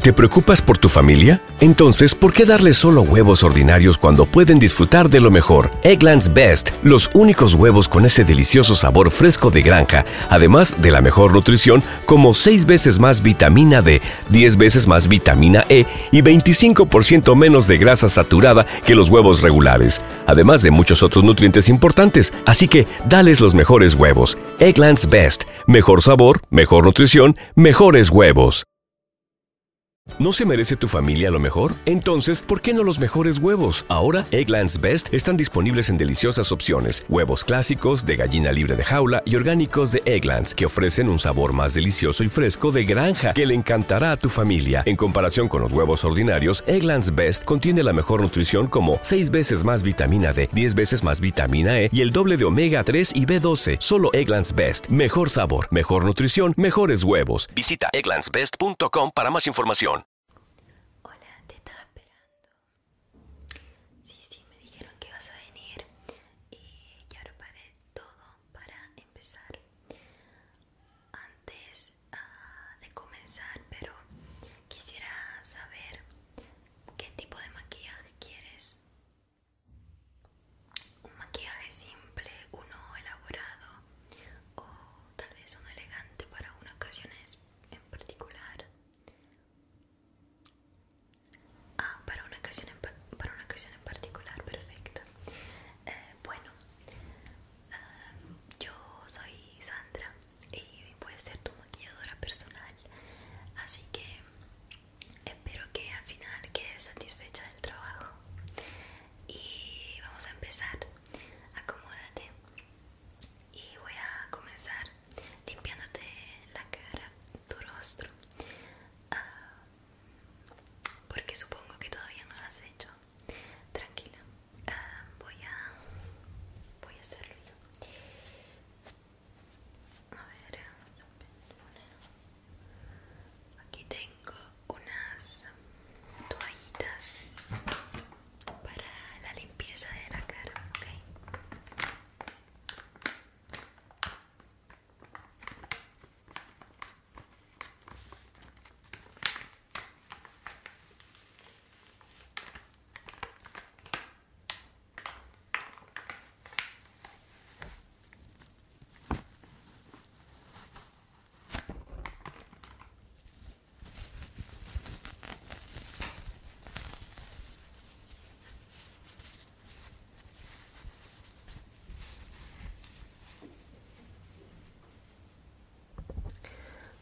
¿Te preocupas por tu familia? Entonces, ¿por qué darle solo huevos ordinarios cuando pueden disfrutar de lo mejor? Eggland's Best, los únicos huevos con ese delicioso sabor fresco de granja, además de la mejor nutrición, como 6 veces más vitamina D, 10 veces más vitamina E y 25% menos de grasa saturada que los huevos regulares, además de muchos otros nutrientes importantes. Así que, dales los mejores huevos. Eggland's Best, mejor sabor, mejor nutrición mejores huevos. ¿No se merece tu familia lo mejor? Entonces, ¿por qué no los mejores huevos? Ahora, Egglands Best están disponibles en deliciosas opciones. Huevos clásicos, de gallina libre de jaula y orgánicos de Egglands, que ofrecen un sabor más delicioso y fresco de granja que le encantará a tu familia. En comparación con los huevos ordinarios, Egglands Best contiene la mejor nutrición como 6 veces más vitamina D 10 veces más vitamina E y el doble de omega 3 y B12. Solo Egglands Best. Mejor sabor, mejor nutrición, mejores huevos. Visita egglandsbest.com para más información. Hola, te estaba esperando. Sí, sí, me dijeron que vas a venir y eh, ya paré todo para empezar. Antes ah, de comenzar, pero quisiera saber qué tipo de maquillaje quieres un maquillaje simple, uno elaborado o tal vez uno elegante para una ocasión en particular. Ah, para una ocasión en, para una ocasión en particular, perfecta. Eh, bueno, eh, yo soy Sandra y voy a ser tu maquilladora personal, así que Espero que al final quedes satisfecha del trabajo. Y vamos a empezar. Acomódate. Y voy a comenzar limpiándote la cara, tu rostro. Ah, porque supongo que todavía no lo has hecho. Tranquila. Ah, voy a voy a hacerlo yo. A ver, Aquí tengo unas toallitas para la limpieza de la cara, ¿ok?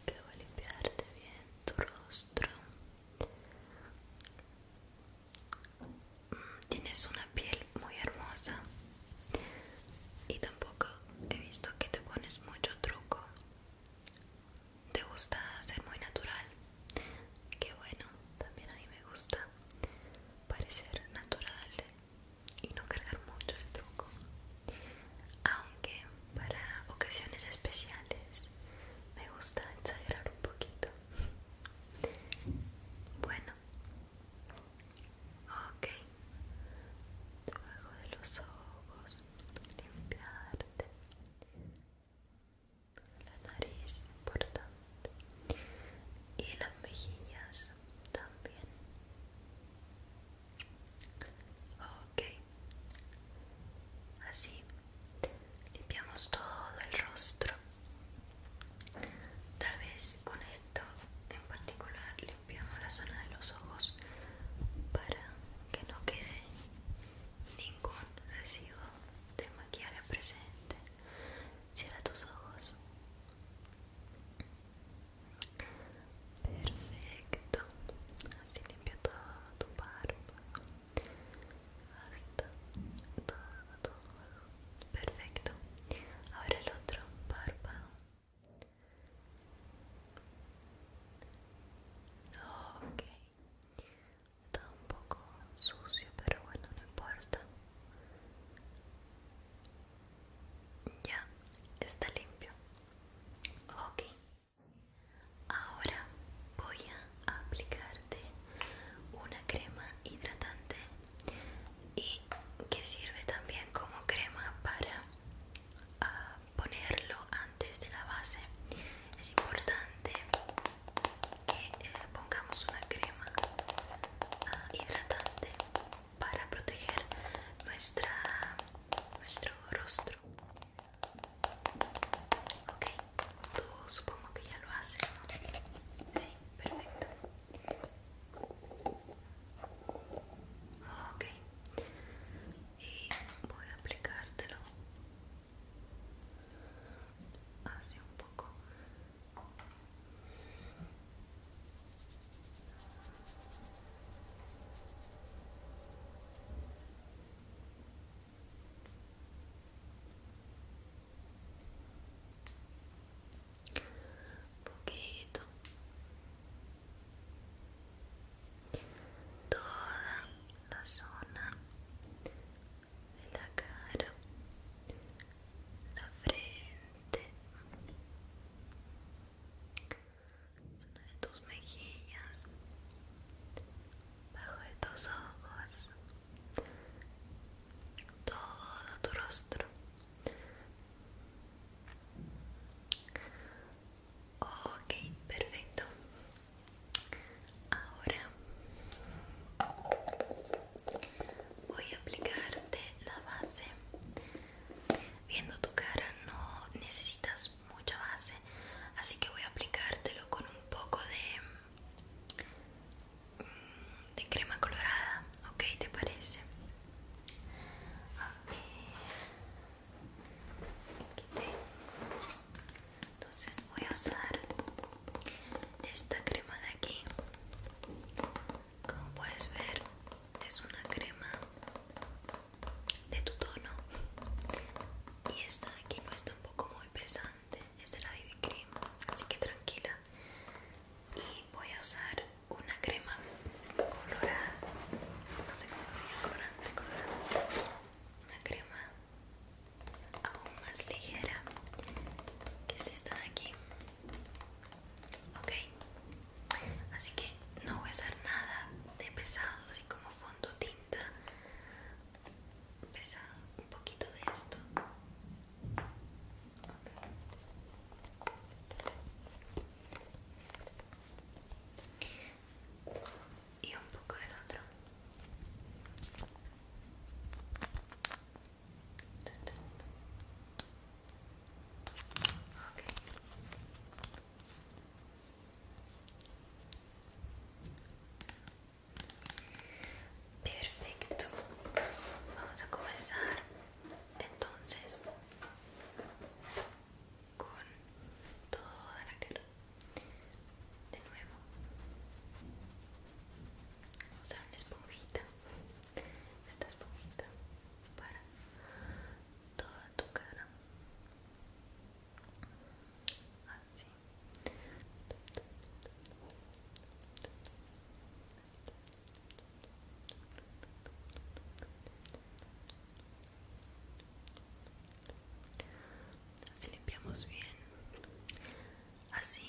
que voy a limpiarte bien tu rostro Tienes una piel muy hermosa y tampoco he visto que te pones mucho truco. Te gusta ser muy natural. Qué bueno, también a mí me gusta parecer natural y no cargar mucho el truco. Aunque para ocasiones especiales me gusta exagerar un poquito. Bueno, ok. Debajo de los ojos, limpiarte. La nariz, importante. Y las mejillas también. Ok. Así limpiamos todo el rostro tal vez con esto en particular limpiamos la zona de los ojos para que no quede ningún residuo de maquillaje presente cierra tus ojos perfecto así limpia todo tu barba hasta todo, Perfecto. Ahora el otro párpado. Ok. Está un poco sucio, pero bueno, no importa. Ya, está limpio. Ok. Ahora voy a aplicarte una crema hidratante y que sirve también como crema para ah, ponerlo antes de la base. Es importante que eh, pongamos una crema ah, hidratante para proteger nuestro rostro. Ok, tú supongo que ya lo haces, ¿no? Sí, perfecto. Ok, y voy a aplicártelo así un poco poquito toda la zona de la cara la frente zona de tus mejillas bajo de tus ojos, todo tu rostro. Ok, perfecto. Ahora voy a aplicarte la base. Viendo tu cara no necesitas mucha base así que voy a aplicártelo con un poco de mm, de crema colorada ok te parece a ver entonces voy a usar esta crema de aquí como puedes ver es una crema de tu tono y esta de aquí no es muy pesante, es de la BB Cream, así que tranquila. Y voy a usar una crema colorada, no sé cómo se llama, colorante, colorada Una crema aún más ligera, que es esta de aquí. Ok, así que no voy a usar nada de pesado, así como fondo tinta pesado un poquito de esto y un poco del otro Perfecto. Vamos a comenzar entonces con toda la cara. De nuevo. Vamos a usar una esponjita. Esta esponjita para toda tu cara. Así. Así limpiamos bien. Así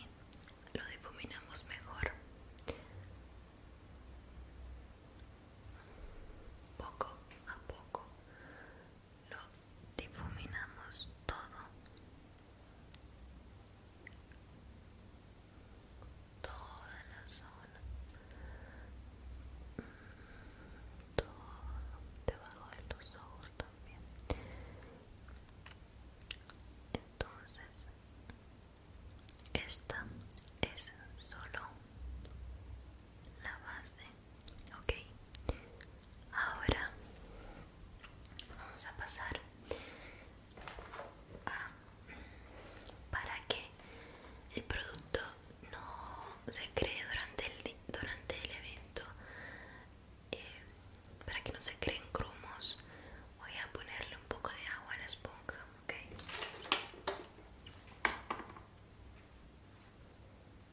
lo difuminamos mejor. Poco a poco lo difuminamos todo toda la zona mm, todo debajo de los ojos también entonces esta es solo la base ok ahora vamos a pasar a, para que el producto no se cree durante el, durante el evento eh, para que no se creen grumos voy a ponerle un poco de agua a la esponja ok de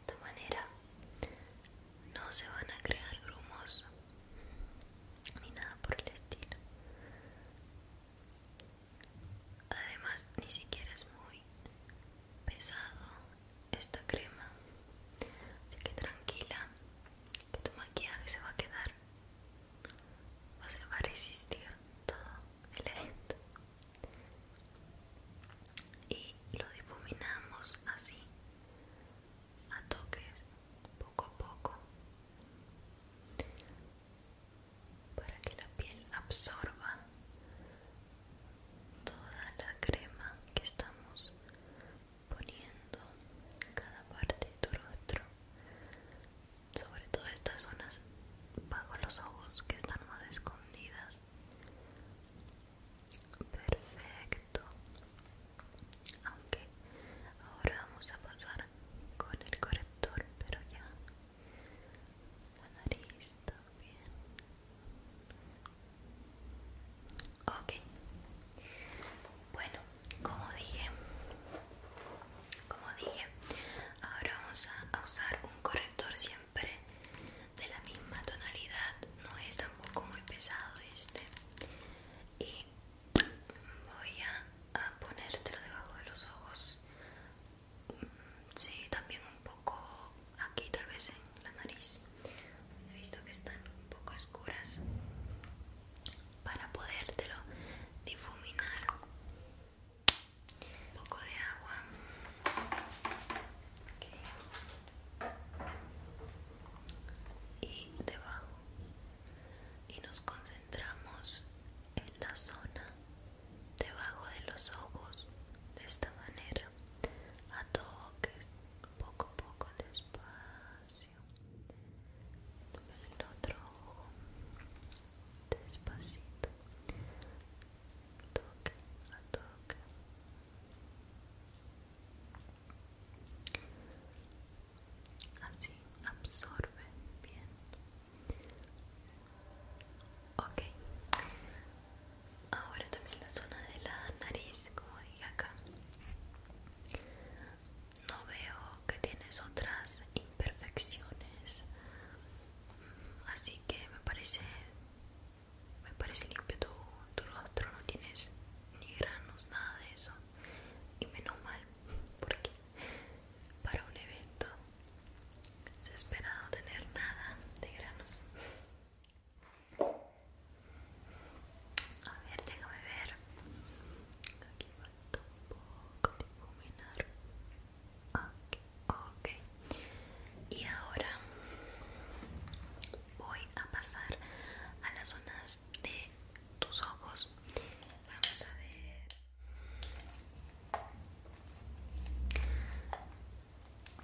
esta manera no se van a crear grumos ni nada por el estilo. Además, ni siquiera es muy pesado esta crema, así que tranquila, que tu maquillaje se va a quedar va a resistir todo el evento y lo difuminamos así a toques poco a poco para que la piel absorba toda la crema que estamos poniendo cada parte de tu rostro, sobre todo estas zonas bajo los ojos que están más escondidas. Perfecto. Aunque ahora vamos a pasar con el corrector, pero ya la nariz también. Ok. Bueno, como dije como dije ahora vamos a, usar un corrector siempre de la misma tonalidad no es tampoco muy pesado este y voy a, a ponértelo debajo de los ojos sí también un poco aquí tal vez en la nariz he visto que están un poco oscuras para podértelo difuminar un poco de agua y debajo y nos concentramos en la zona debajo de los ojos de esta manera a toques poco a poco despacio el otro ojo despacito toca, a toque así absorbe bien ok ahora también la zona de la nariz como dije acá no veo que tienes otras imperfecciones, así que me parece, me parece limpio tu, tu rostro, no tienes ni granos, nada de eso. Y menos mal, porque para un evento se espera no tener nada de granos. A ver, déjame ver. Aquí falta poco ok. Y ahora voy a pasar a las zonas de tus ojos. Vamos a ver.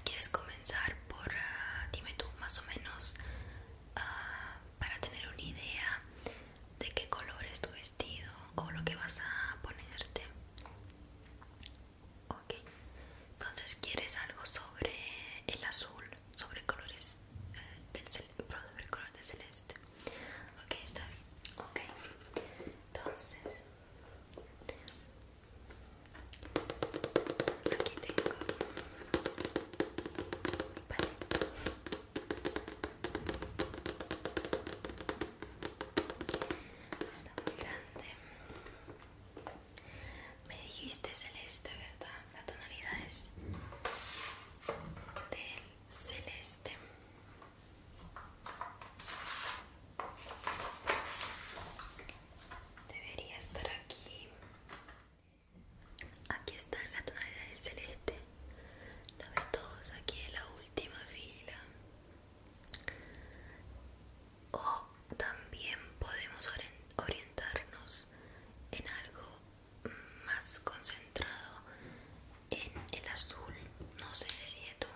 ¿Quieres comenzar por, ah, dime tú, más o menos Ah, para tener una idea de qué color es tu vestido o lo que vas a ponerte. Ok, entonces quieres algo sobre el azul, sobre colores eh, del, celeste. Ok, está bien. entonces aquí tengo Está muy grande. Me dijiste celeste, ¿verdad? La tonalidad es del celeste. Debería estar aquí. Aquí está la tonalidad del celeste. La ves todos aquí en la última fila. O también podemos orientarnos en algo más concentrado en el azul. No sé, decide tú.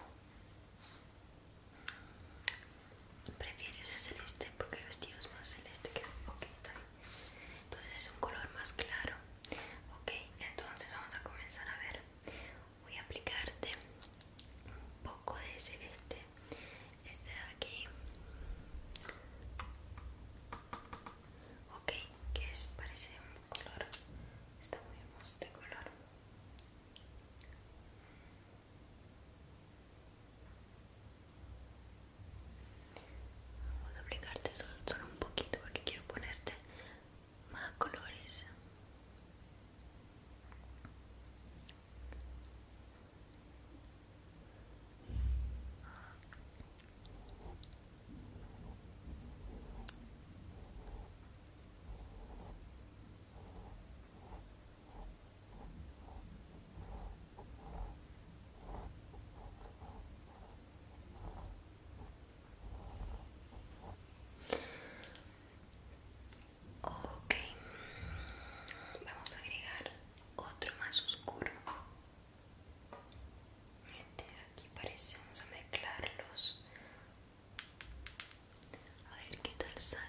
¿Prefieres el celeste porque el vestido es más celeste que... Ok, está bien entonces es un color más claro ok entonces vamos a comenzar a ver voy a aplicarte un poco de celeste este de aquí ok que es parece un color está muy hermoso de este color voy a aplicarte solo un poquito porque quiero ponerte más colores. Ok, vamos a agregar otro más oscuro. Este aquí parece, vamos a mezclarlos. A ver qué tal sale.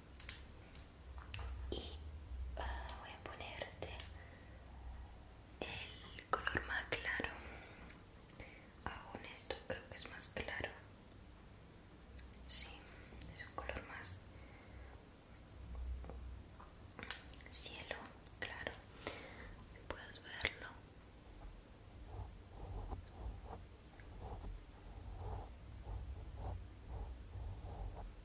y ah, voy a ponerte el color más claro aún esto creo que es más claro sí es un color más cielo claro puedes verlo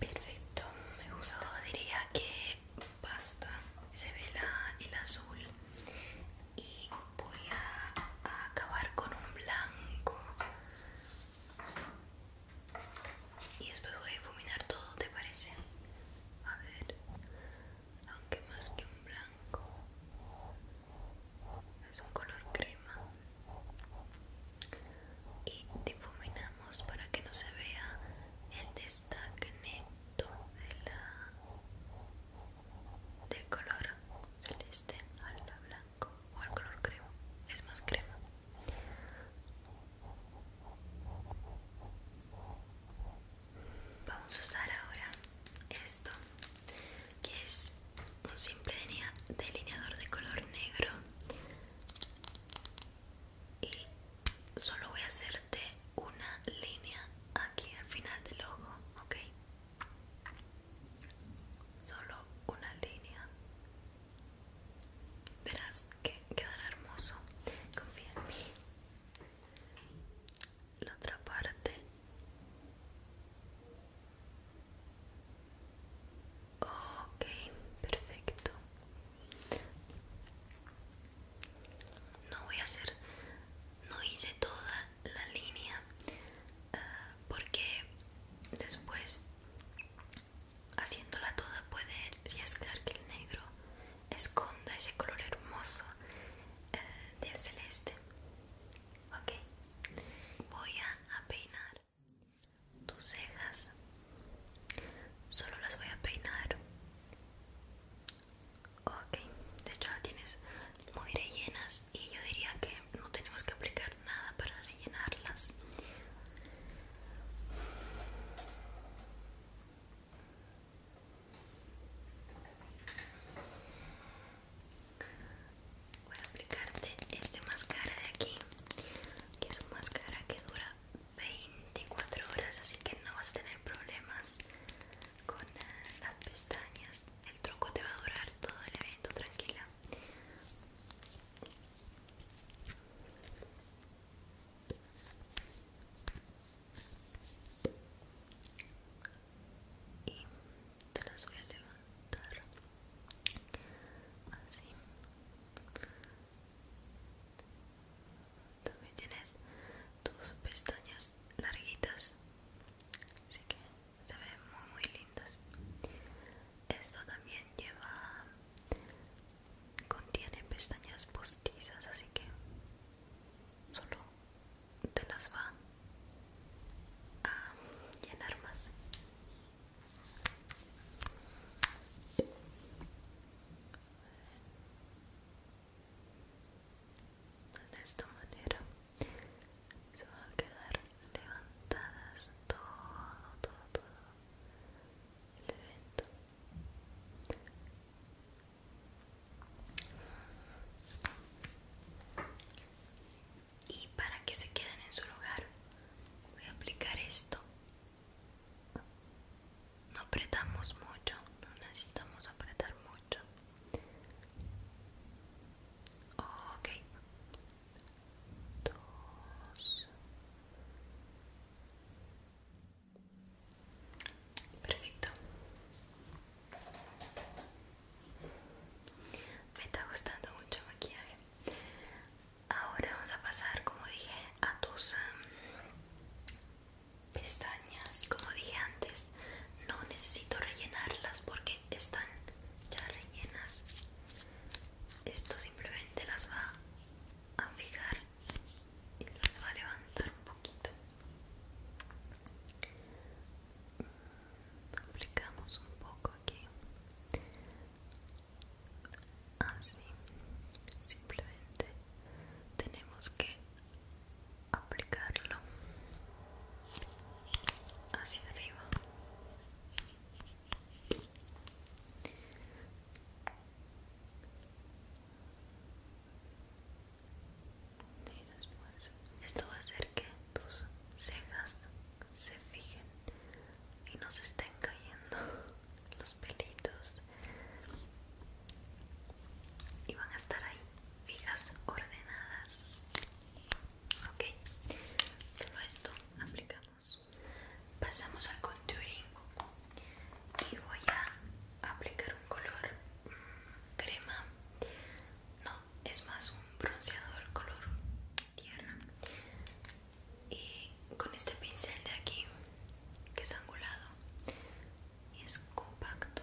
Perfecto, me gustó. Diría que basta. Se ve el azul. Y voy a, a acabar con un blanco. Y después voy a difuminar todo, ¿te parece? A ver, aunque más que un blanco, es un color crema y difuminamos para que no se vea el destaque neto de del color celeste al blanco o al color crema, es más crema. Vamos a usar ahora esto que es un simple delineador de color negro y solo voy a hacerte una línea aquí al final del ojo, ok. Solo una línea. Verás que quedará hermoso. Confía en mí. La otra parte Ok, perfecto. No voy a hacer, no hice toda la línea ah, porque después haciéndola toda puede arriesgar que el negro esconda ese color hermoso ah, del celeste. Ok, voy a peinar tus cejas solo las voy a peinar ok de hecho tienes muy rellenas y yo diría que no tenemos que aplicar nada para rellenarlas voy a aplicarte este máscara de aquí que es un máscara que dura 24 horas así que no vas a tener problemas con eh, las pestañas el truco te va a durar todo el evento tranquila y te las voy a levantar así también tienes tus pestañas larguitas así que se ven muy muy lindas esto también lleva contiene pestañas postizas así que solo te las va a llenar más de esta manera se van a quedar levantadas todo todo todo el evento y para que se queden en su lugar voy a aplicar esto no apretamos mucho no necesitamos apretar mucho ok dos perfecto me está gustando mucho maquillaje ahora vamos a pasar como dije a tus pestañas como dije antes no necesito rellenarlas porque están ya rellenas esto simplemente las va a fijar y las va a levantar un poquito aplicamos un poco aquí así ah, simplemente tenemos que aplicarlo hacia arriba y después esto va a hacer que tus cejas se fijen y no se estén cayendo los pelitos y van a estar ahí fijas ordenadas ok solo esto aplicamos pasamos al contouring y voy a aplicar un color mm, crema no es más un bronceador color tierra y con este pincel de aquí que es angulado y es compacto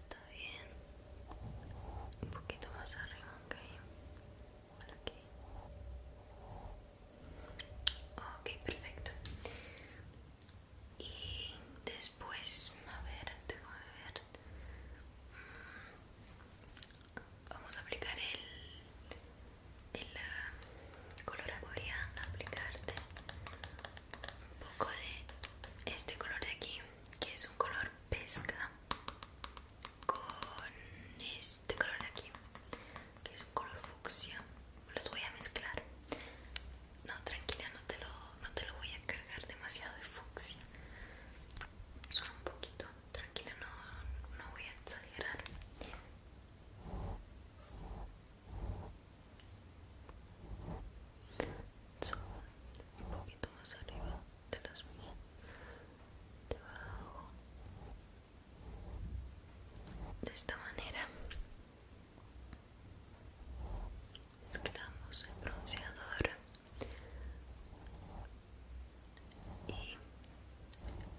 Está bien. Un poquito más arriba, ok. aquí. Ok, perfecto. Y después, a ver, déjame ver vamos a aplicar el, color uh, voy a aplicarte un poco de este color de aquí que es un color pesca con este color de aquí que es un color fucsia los voy a mezclar no tranquila no te lo voy a cargar demasiado de fucsia solo un poquito tranquila no voy a exagerar un poquito más arriba de las mías. Debajo. De esta manera. Mezclamos el bronceador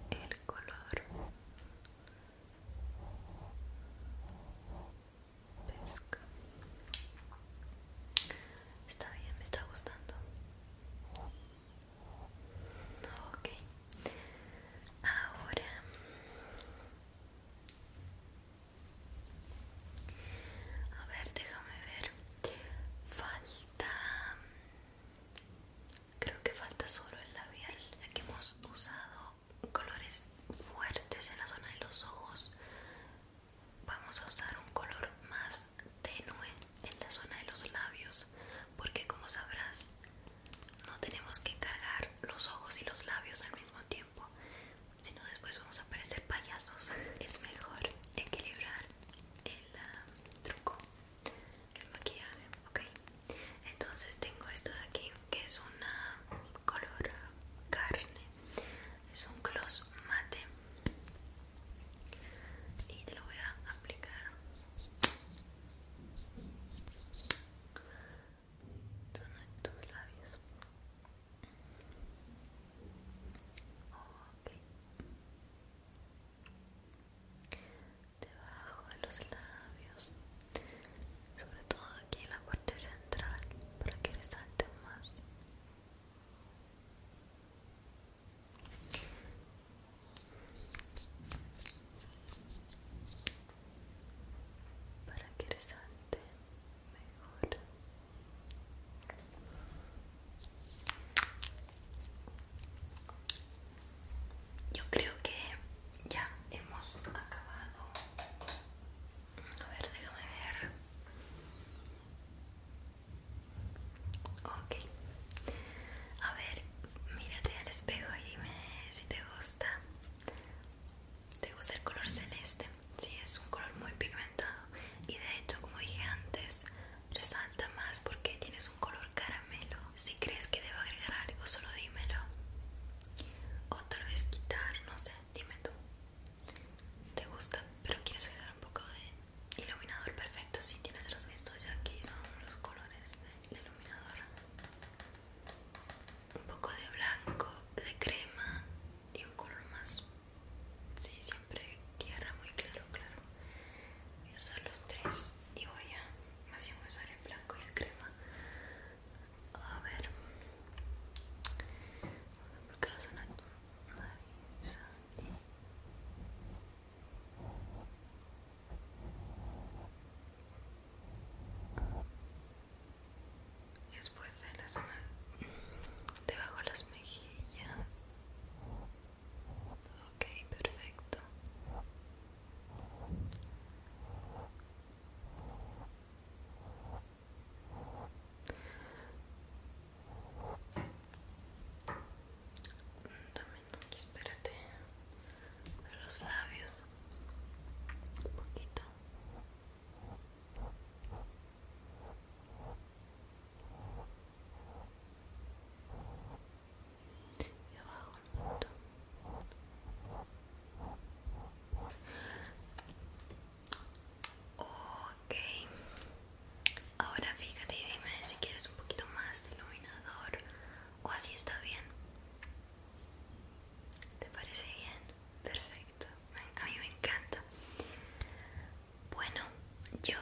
y el color pesca está bien me está gustando ok ahora a ver déjame ver falta Creo que falta solo el labial, ya que hemos usado colores fuertes en la zona de los ojos. Vamos a usar un color más tenue en la zona de los labios, porque como sabrás, no tenemos que cargar los ojos y los labios al mismo tiempo, sino después vamos a parecer payasos. Es mejor equilibrar el ah, truco el maquillaje, ok. Entonces tengo esto de aquí que es un color carne, es un gloss mate y te lo voy a aplicar. en tus labios. Okay debajo de los labios sobre todo aquí en la parte central para que resalte más para que resalte mejor yo creo que ya hemos acabado. A ver, déjame ver. Ok. A ver, mírate al espejo y dime si te gusta. ¿Te gusta el color celeste? Sí, es un color muy pigmentado. Y de hecho, como dije antes, resalta más porque tienes un color caramelo. Si crees que debo agregar algo, solo dímelo. O tal vez quitar, no sé, dime tú. ¿Te gusta? Pero quieres agregar un poco de iluminador perfecto. Si tienes los vistos de aquí, son los colores del iluminador. Un poco de blanco, de crema y un color más. Sí, siempre tierra, muy claro, claro voy a usar los tres y voy a más si a usar el blanco y el crema a ver zona de tu nariz, aquí? después de la zona debajo de las mejillas Okay, perfecto. También aquí, espérate. los labios. Un poquito y ok ahora fíjate y dime si quieres un poquito más de iluminador o así está bien ¿Te parece bien? Perfecto. A mí me encanta. Bueno, yo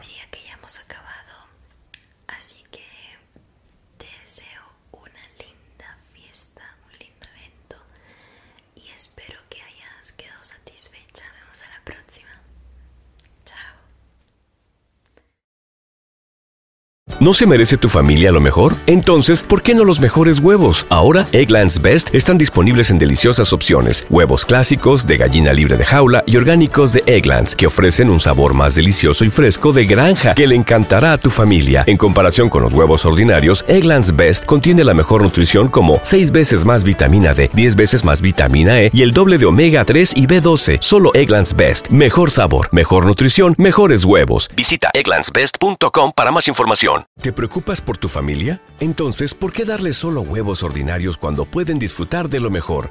diría que ya hemos acabado, así que te deseo una linda fiesta, un lindo evento y espero que hayas quedado satisfecha. Nos vemos a la próxima. Chao. ¿No se merece tu familia lo mejor? Entonces, ¿por qué no los mejores huevos? Ahora, Egglands Best están disponibles en deliciosas opciones huevos clásicos de gallina libre de jaula y orgánicos de Egglands, que ofrecen un sabor más delicioso y fresco de granja que le encantará a tu familia. En comparación con los huevos ordinarios, Egglands Best contiene la mejor nutrición como 6 veces más vitamina D, 10 veces más vitamina E y el doble de omega 3 y B12. Solo Egglands Best. Mejor sabor, mejor nutrición, mejores huevos. Visita egglandsbest.com para más información. ¿Te preocupas por tu familia? Entonces, ¿por qué darle solo huevos ordinarios cuando pueden disfrutar de lo mejor?